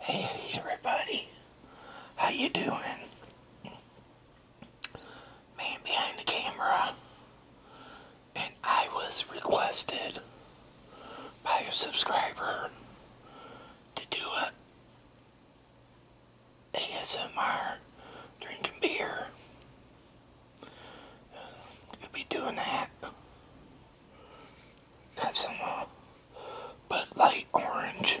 Hey everybody, how you doing? Man behind the camera, and I was requested by a subscriber to do a ASMR drinking beer. You'll be doing that Got some uh, Bud Light Orange.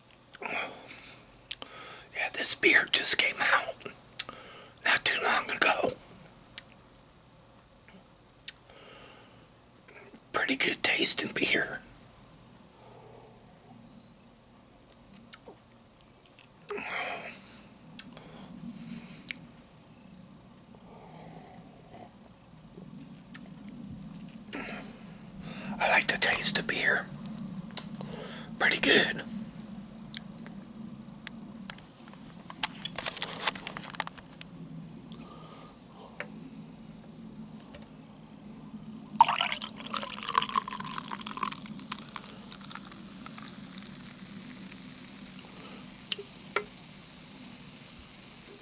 Yeah, this beer just came out not too long ago. Pretty good tasting beer. I like the taste of beer. Pretty good.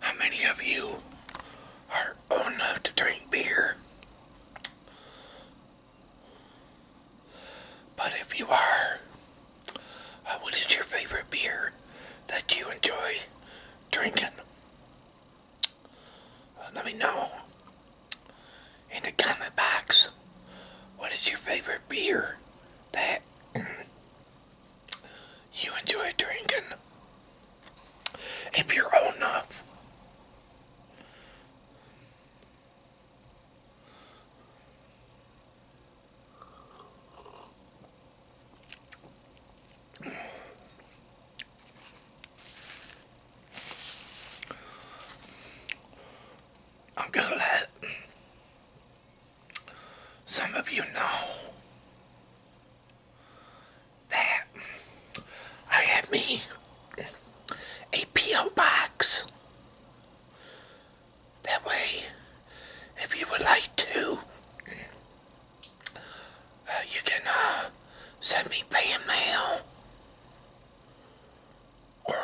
how many of you are old enough to drink beer? But if you are, uh, what is your favorite beer that you enjoy drinking? Uh, let me know in the comment box. What is your favorite beer that you enjoy drinking. If you're old enough. I'm gonna let some of you know that I have me a P.O. box. That way, if you would like to, uh, you can uh, send me fan mail or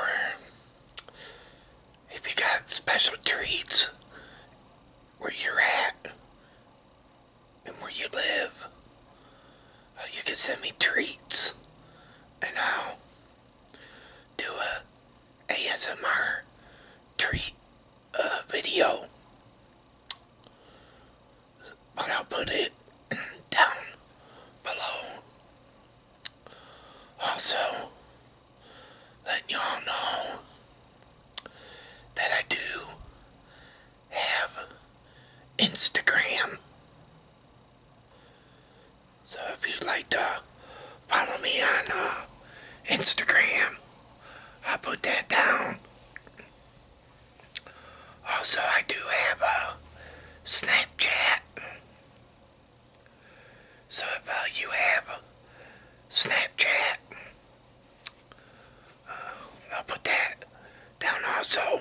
if you got special treats where you're at and where you live, uh, you can send me treats and I'll do a ASMR treat uh, video. But I'll put it down below. Also, let y'all know that I do have Instagram. So if you'd like to follow me on uh, Instagram, i put that down. Also, I do have a Snapchat. So if uh, you have Snapchat, uh, I'll put that down also.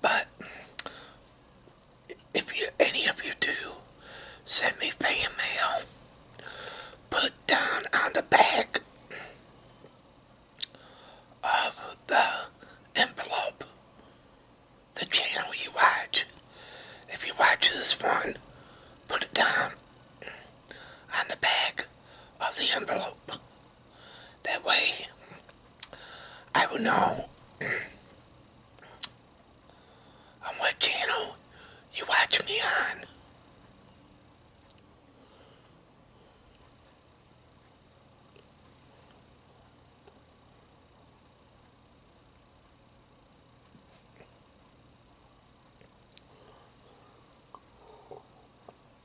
But if you, any of you do send me fan mail, put down on the back of the envelope the channel you watch. If you watch this one, put it down on the back of the envelope. That way, I will know on what channel you watch me on.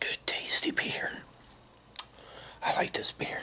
Good tasty beer. I like this beer.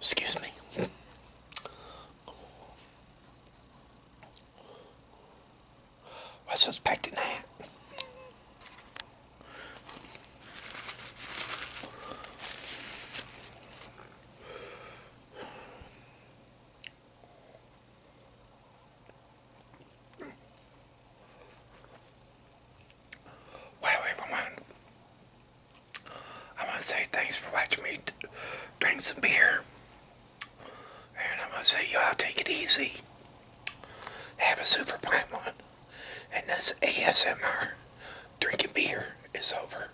Excuse me. I was expecting that. Well, everyone, I'm going to say thanks for watching me drink some beer. And I'm going to say, y'all take it easy. Have a super prime one. And this ASMR drinking beer is over.